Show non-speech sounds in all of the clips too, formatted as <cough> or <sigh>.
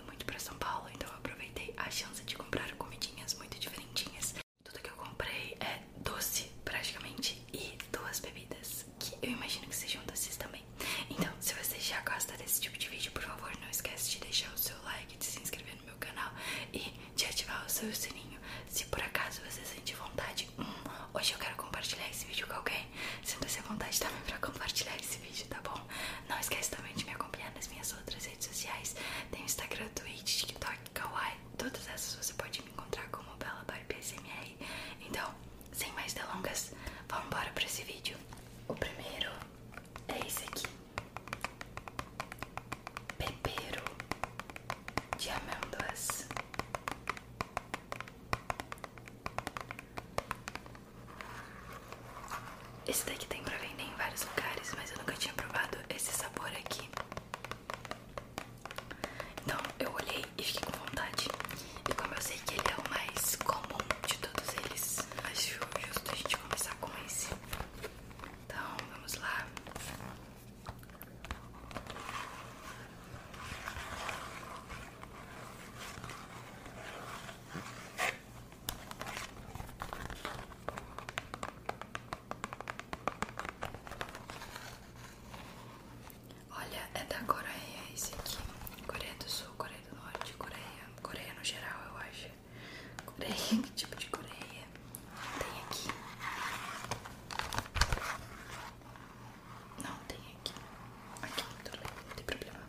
muito pra São Paulo, então eu aproveitei a chance de comprar comidinhas muito diferentinhas. Tudo que eu comprei é doce, praticamente, e duas bebidas, que eu imagino que sejam doces também. Então, se você já gosta desse tipo de vídeo, por favor, não esquece de deixar o seu like, de se inscrever no meu canal e de ativar o seu sininho. Se por acaso você sente vontade, hum, hoje eu quero compartilhar esse vídeo com alguém, sinta-se à vontade também pra compartilhar esse vídeo, tá bom? Não esquece também de me acompanhar nas minhas outras sociais. Tem Instagram, Twitter, TikTok, Kawaii. Todas essas você pode me encontrar como Bela Barbie SMR. Então, sem mais delongas, vamos embora para esse vídeo. O primeiro é esse aqui. Pepero de amêndoas. Esse daqui tem pra vender em vários lugares, mas eu nunca tinha provado esse sabor aqui. Então eu olhei e fiquei com vontade. E como eu sei que ele é o mais comum de todos eles, acho justo a gente começar com esse. Então vamos lá. Olha, é da Coreia esse aqui. Coreia do Sul, Coreia do Norte, Coreia. Coreia no geral, eu acho. Coreia, <laughs> que tipo de Coreia? Tem aqui. Não, tem aqui. Aqui, não tem problema.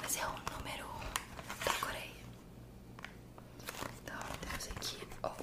Mas é o número 1 um da Coreia. Então temos aqui Open.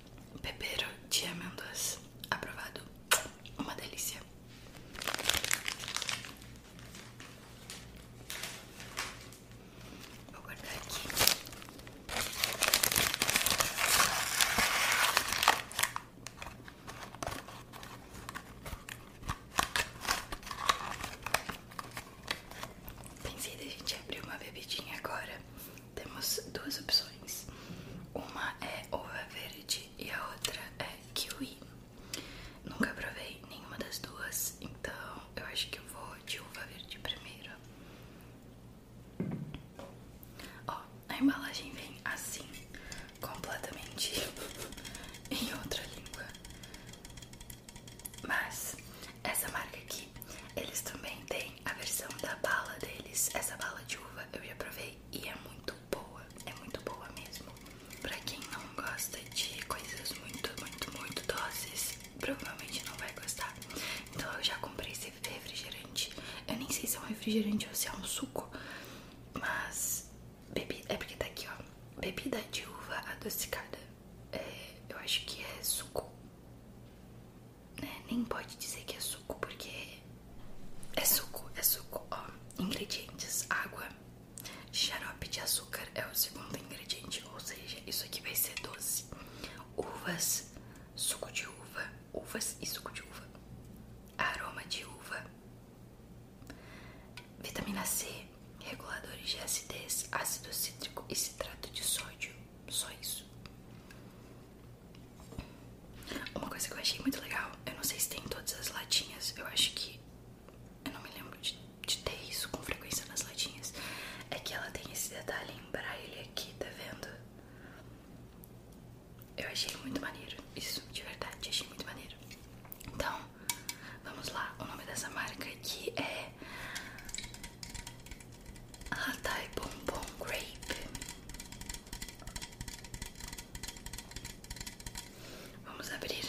Pepero de amêndoas. Aprovado. Uma delícia. Vou guardar aqui. Pensei da gente abriu uma bebidinha agora temos duas opções. Uma é uva verde e a outra é kiwi. Nunca provei nenhuma das duas, então eu acho que eu vou de uva verde primeiro. Ó, a embalagem vem assim, completamente <laughs> em outra língua. Mas essa marca aqui, eles também têm a versão da bala deles, essa bala de uva eu já provei e é muito boa, é muito boa mesmo. Pra quem não gosta de coisas muito, muito, muito doces, provavelmente não vai gostar. Então eu já comprei esse refrigerante, eu nem sei se é um refrigerante ou se é um suco, mas bebi, é porque tá aqui ó, bebida de uva adocicada, é, eu acho que é suco. É, nem pode dizer que é suco, porque é suco, é suco. ingredientes: água, xarope de açúcar é o segundo ingrediente, ou seja, isso aqui vai ser doce. Uvas, suco de uva, uvas e suco de uva, aroma de uva, vitamina C, reguladores de acidez, ácido cítrico e citrato de sódio. Só isso. Uma coisa que eu achei muito legal, eu não sei se tem em todas as latinhas, eu acho que. Eu não me lembro de, ter isso com frequência nas latinhas. É que ela tem esse detalhe em braille aqui, tá vendo? Eu achei muito maneiro. Isso, de verdade, achei muito maneiro. Então, vamos lá. O nome dessa marca aqui é ah, bombom tá, é grape. Vamos abrir.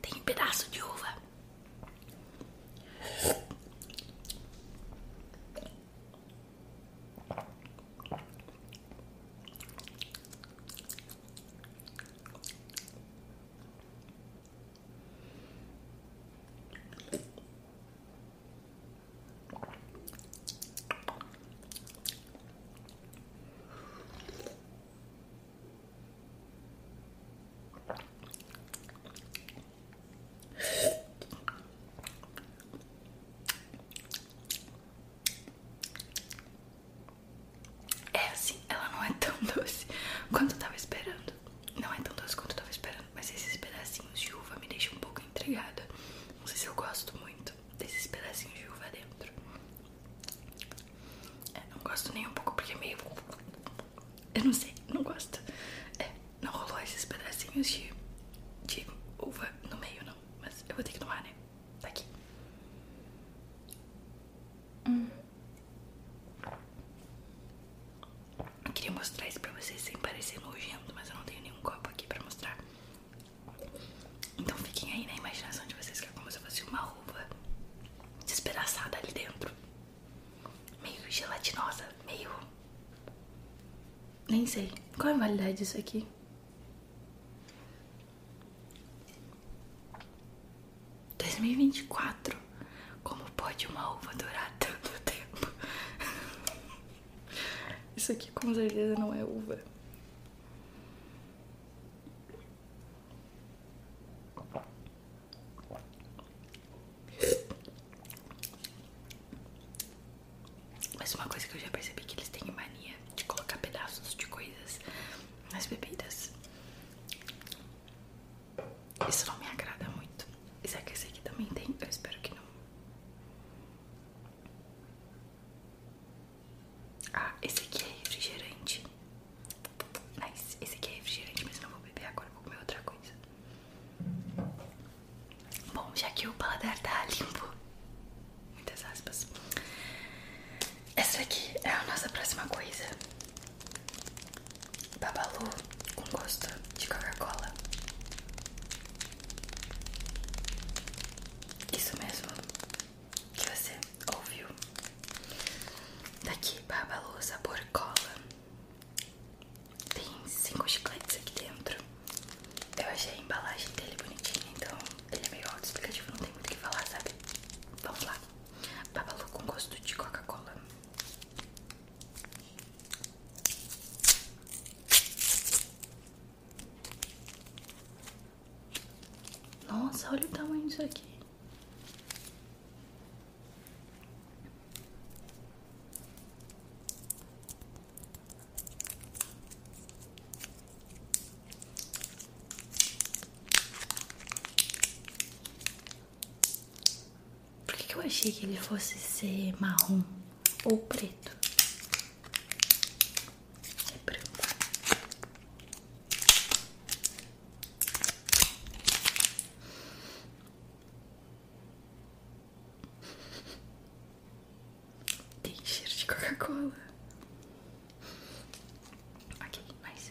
Tem um pedaço de uva. É assim, ela não é tão doce quanto eu tava esperando. Não é tão doce quanto eu tava esperando, mas esses pedacinhos de uva me deixam um pouco entregada. Não sei se eu gosto muito desses pedacinhos de uva dentro. É, não gosto nem um pouco porque é meio. Eu não sei, não gosto. É, não rolou esses pedacinhos de, de uva no meio, não. Mas eu vou ter que tomar, né? Tá aqui. Eu hum. queria mostrar isso pra vocês sem parecer nojento, mas eu não tenho nenhum copo aqui pra mostrar. Então fiquem aí na imaginação de vocês que é como se fosse uma uva despedaçada ali dentro. Meio gelatinosa, meio. Nem sei. Qual é a validade disso aqui? ...2024... ...como pode uma uva durar tanto tempo? <laughs> Isso aqui com certeza não é uva. Mas uma coisa que eu já percebi é que eles têm mania de colocar pedaços de coisas nas bebidas. Isso não me agrada muito. Será é que esse aqui também tem? Eu espero que não. Ah, esse aqui é refrigerante. Nice. Esse aqui é refrigerante, mas eu não vou beber agora, vou comer outra coisa. Bom, já que o paladar tá limpo, muitas aspas. Essa aqui é a nossa próxima coisa. Babalu com gosto de Coca-Cola. Isso mesmo que você ouviu. Daqui, Babalu sabor cola. Tem cinco chicletes aqui dentro. Eu achei a embalagem dele bonitinha, então ele é meio auto-explicativo, não tem muito o que falar, sabe? Vamos lá. Babalu com gosto de Coca-Cola. Nossa, olha o tamanho disso aqui. Por que, que eu achei que ele fosse ser marrom? ou preto. É branco. Tem cheiro de Coca-Cola. Ok, mais.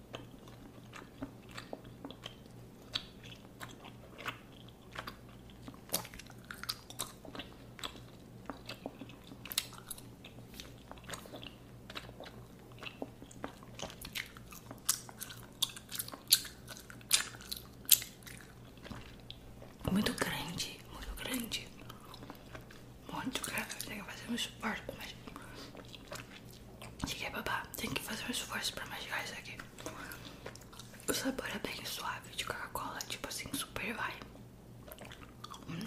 Muito grande, muito grande. Muito grande. Tem que fazer um esforço, mas Cheguei, babá. Tem que fazer um esforço pra mastigar isso aqui. O sabor é bem suave de Coca-Cola, tipo assim, super vai.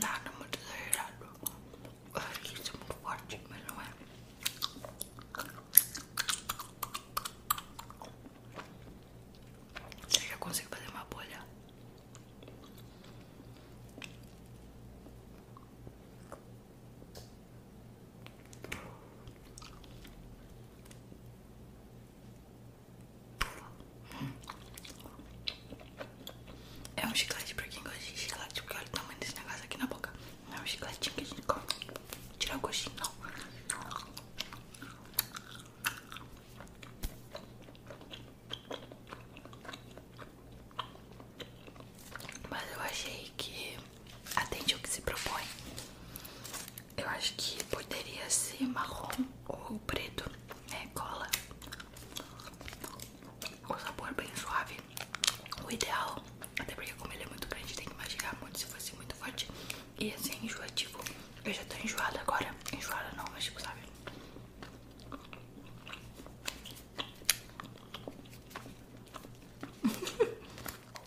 Nada muito exagerado. Eu acho que isso é muito forte, mas não é. Eu consigo fazer uma bolha. É um chiclete pra quem gosta de chiclete, porque olha o tamanho desse negócio aqui na boca. Não é um chiclete que a gente come. Tirar o gostinho, não. Mas eu achei que atende o que se propõe. Eu acho que poderia ser marrom ou preto, né? É Cola. com sabor bem suave. O ideal, até porque como ele é muito grande, tem que mastigar muito se fosse muito forte. E assim, é enjoativo. Eu já tô enjoada agora. Enjoada não, mas tipo, sabe?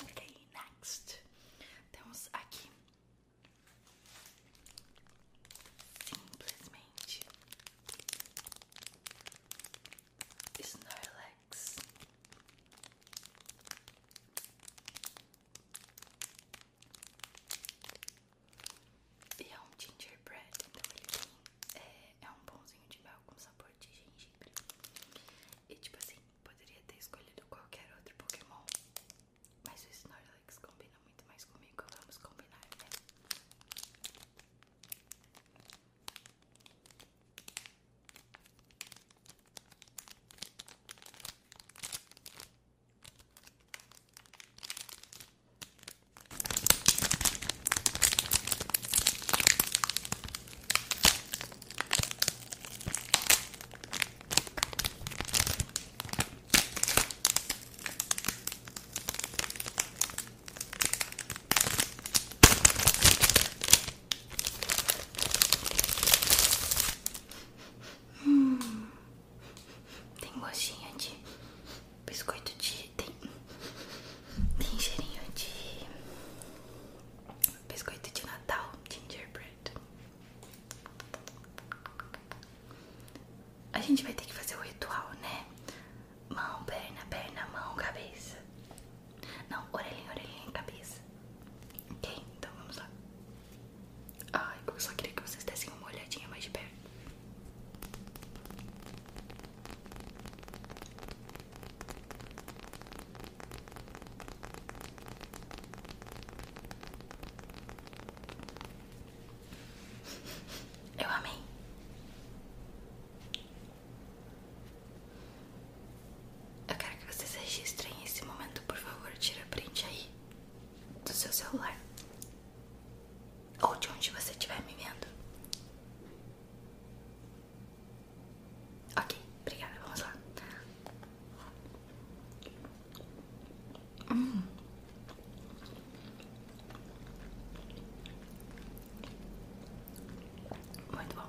ok, next temos aqui simplesmente Snorlax. E é gingerbread, É, é, um pãozinho de mel com sabor de gengibre. E tipo assim, poderia ter escolhido qualquer outro Pokémon, mas o Snorlax combina muito mais comigo. Vamos combinar, né? Hum, tem gostinha de biscoito de tem, tem cheirinho de biscoito de Natal, gingerbread. A gente vai ter que fazer o ritual, né? Mão, perna, perna, mão, cabeça. Não, orelhinha, orelhinha, cabeça. Ok? Então vamos lá. Ai, eu só queria que vocês dessem uma olhadinha mais de perto. Eu amei. Eu quero que vocês registrem esse momento, por favor. Tira print aí do seu celular ou de onde você estiver me vendo. Ok, obrigada, vamos lá. Hum. Muito bom.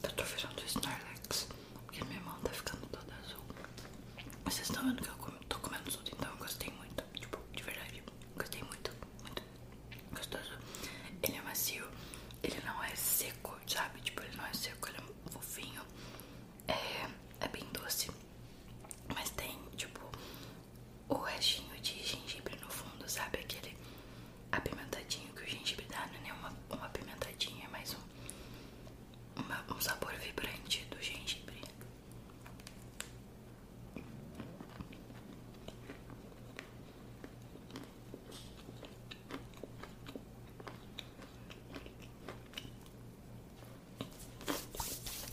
Eu tô virando Snorlax, porque minha mão tá ficando toda azul. Vocês estão vendo que eu tô comendo tudo, então eu gostei muito. Tipo, de verdade, gostei muito, muito gostoso. Ele é macio, ele não é seco, sabe? Tipo, ele não é seco, ele é fofinho. É, é bem doce. Mas tem, tipo, o restinho de gengibre no fundo, sabe? Aquele apimentadinho que o gengibre dá, não é nem uma, uma apimentadinha, é mais um, um sabor vibrante do gengibre.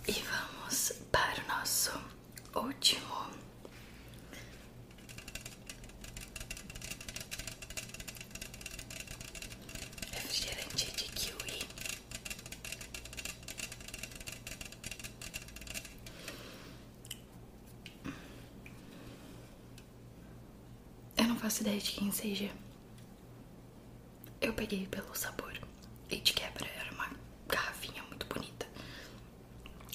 E vamos para o nosso último refrigerante de kiwi. Eu não faço ideia de quem seja. Eu peguei pelo sabor. E de quebra era uma garrafinha muito bonita.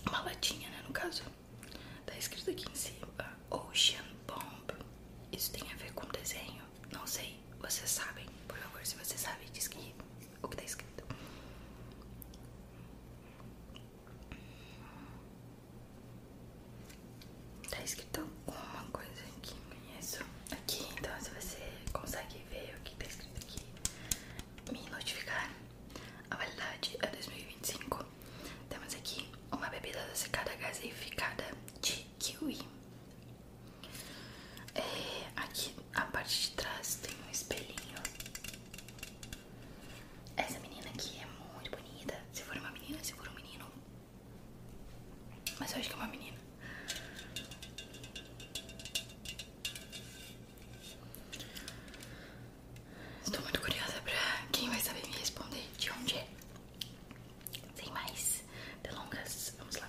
Uma latinha, né? No caso. Tá escrito aqui em cima: Ocean Bomb. Isso tem a ver com desenho? Não sei. Vocês sabem. Por favor, se vocês sabem, diz que o que tá escrito. Tá escrito alguma coisa aqui, isso aqui, então se você consegue ver o que tá escrito aqui, me notificar. A validade é 2025. Temos aqui uma bebida adocicada gaseificada de kiwi. É, aqui a parte de trás tem um espelhinho. Essa menina aqui é muito bonita. Se for uma menina, se for um menino, mas eu acho que é uma menina. Estou muito curiosa pra quem vai saber me responder de onde é. Sem mais delongas, vamos lá.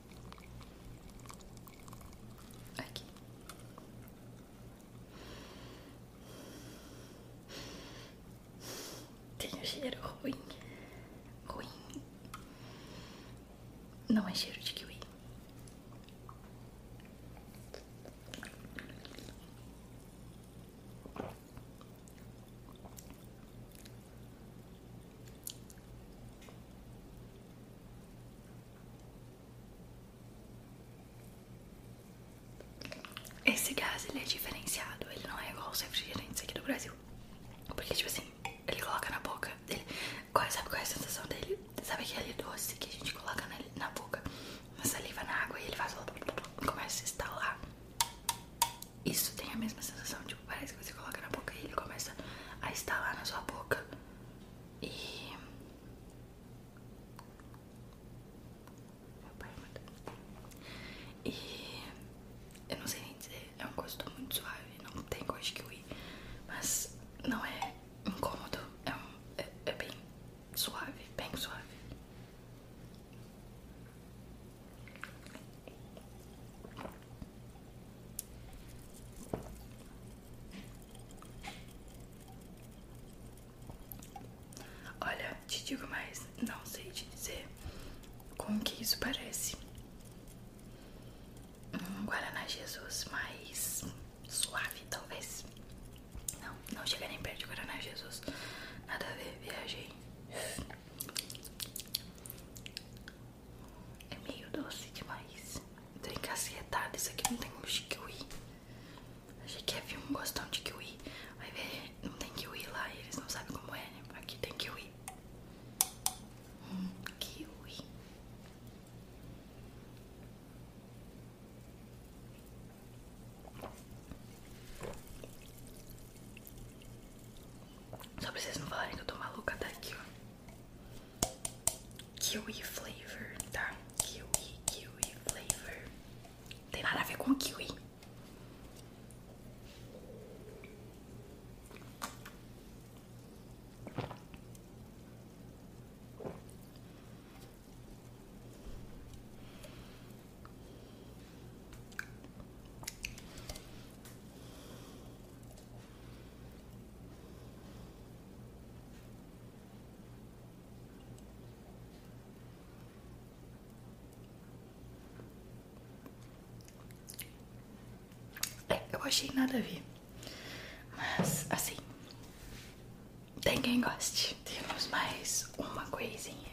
Aqui. Tem um cheiro ruim. Ruim. Não é cheiro de kiwi. Esse gás, ele é diferenciado. Ele não é igual os refrigerantes aqui do Brasil. Porque, tipo assim, ele coloca na boca dele. Qual, sabe qual é a sensação dele? Sabe aquele doce que a gente coloca na, na boca, na saliva, na água, e ele faz... Começa a estalar. Isso tem a mesma sensação. Tipo, parece que você coloca na boca e ele começa a estalar na sua boca. E é E eu não sei nem dizer, é um gosto muito suave, não tem gosto que kiwi, mas não é incômodo, é, um, é, é bem suave, bem suave. Olha, te digo mais, não sei te dizer como que isso parece. Um Guaraná Jesus mais suave, talvez. Não, não chega nem perto de Guaraná Jesus. Nada a ver, viajei. É meio doce demais. Tô encasquetada, isso aqui não tem gosto de kiwi. Achei que havia é um gostão de kiwi. Vai ver, não tem kiwi lá e eles não sabem como é, né? Aqui tem kiwi. Hum, kiwi. Só pra vocês não falarem que eu tô maluca daqui, tá ó. Kiwi flavor, tá? Kiwi, kiwi flavor. Tem nada a ver com kiwi. É, eu achei nada a ver. Mas, assim, tem quem goste. Temos mais uma coisinha.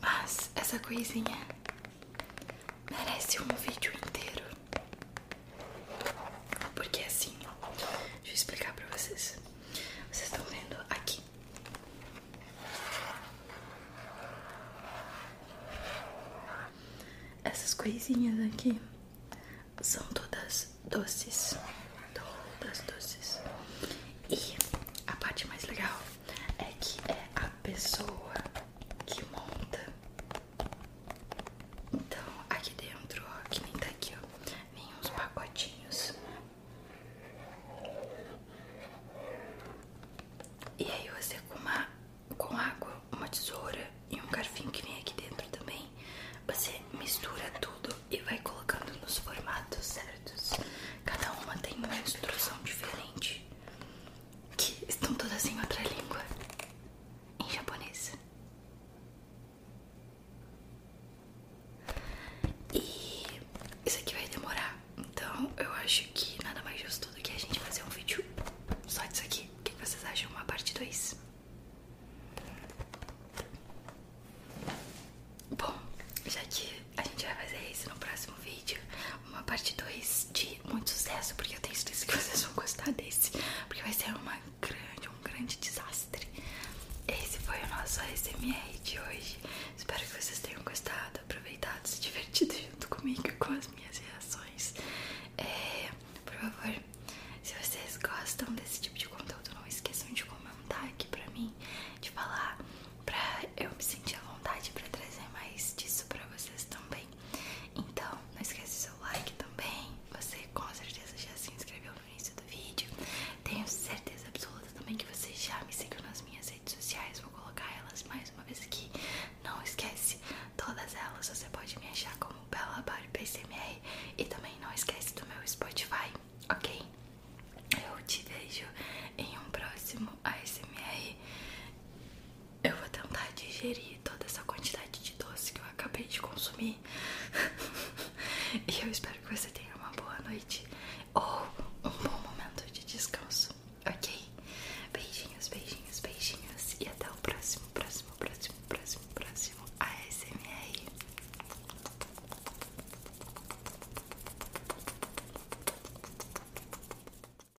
Mas essa coisinha merece um vídeo inteiro. Porque é assim, deixa eu explicar pra vocês. Vocês estão vendo aqui. Essas coisinhas aqui são todas doces. Todas doces. E a parte mais legal é que é a pessoa que monta. Então, aqui dentro, ó, que nem tá aqui, ó, vem uns pacotinhos. E aí você com uma com água, uma tesoura e um garfinho que vem aqui dentro também, você mistura tudo e vai colocando nos formatos certos. Cada uma tem uma instrução diferente que estão todas em outra língua, em japonês. E isso aqui vai demorar, então eu acho que nada mais justo do que a gente fazer um vídeo só disso aqui. O que vocês acham? Uma parte 2? Bom, já que a gente vai fazer isso no próximo vídeo, uma parte 2 de muito sucesso, porque eu tenho certeza que vocês vão gostar desse, porque vai ser uma grande, um grande desastre. Esse foi o nosso ASMR de hoje. Espero que vocês tenham gostado, aproveitado, se divertido junto comigo com as minhas reações. É, por favor, se vocês gostam desse tipo de conteúdo, não esqueçam de comentar aqui pra mim, de falar, pra eu me sentir à vontade pra trazer mais disso pra vocês também. Então, não esquece seu like também. Você com certeza já se inscreveu no início do vídeo. Tenho certeza absoluta também que você já me seguiu nas minhas redes sociais. Vou colocar elas mais uma vez aqui. Não esquece, todas elas você pode me achar como Bella Bari PCMR. E também não esquece do meu Spotify, ok? Eu te vejo em um próximo ASMR, eu vou tentar digerir toda essa quantidade de doce que eu acabei de consumir. <laughs> e eu espero que você tenha uma boa noite ou um bom momento de descanso, ok? Beijinhos, beijinhos, beijinhos e até o próximo, próximo, próximo, próximo, próximo ASMR.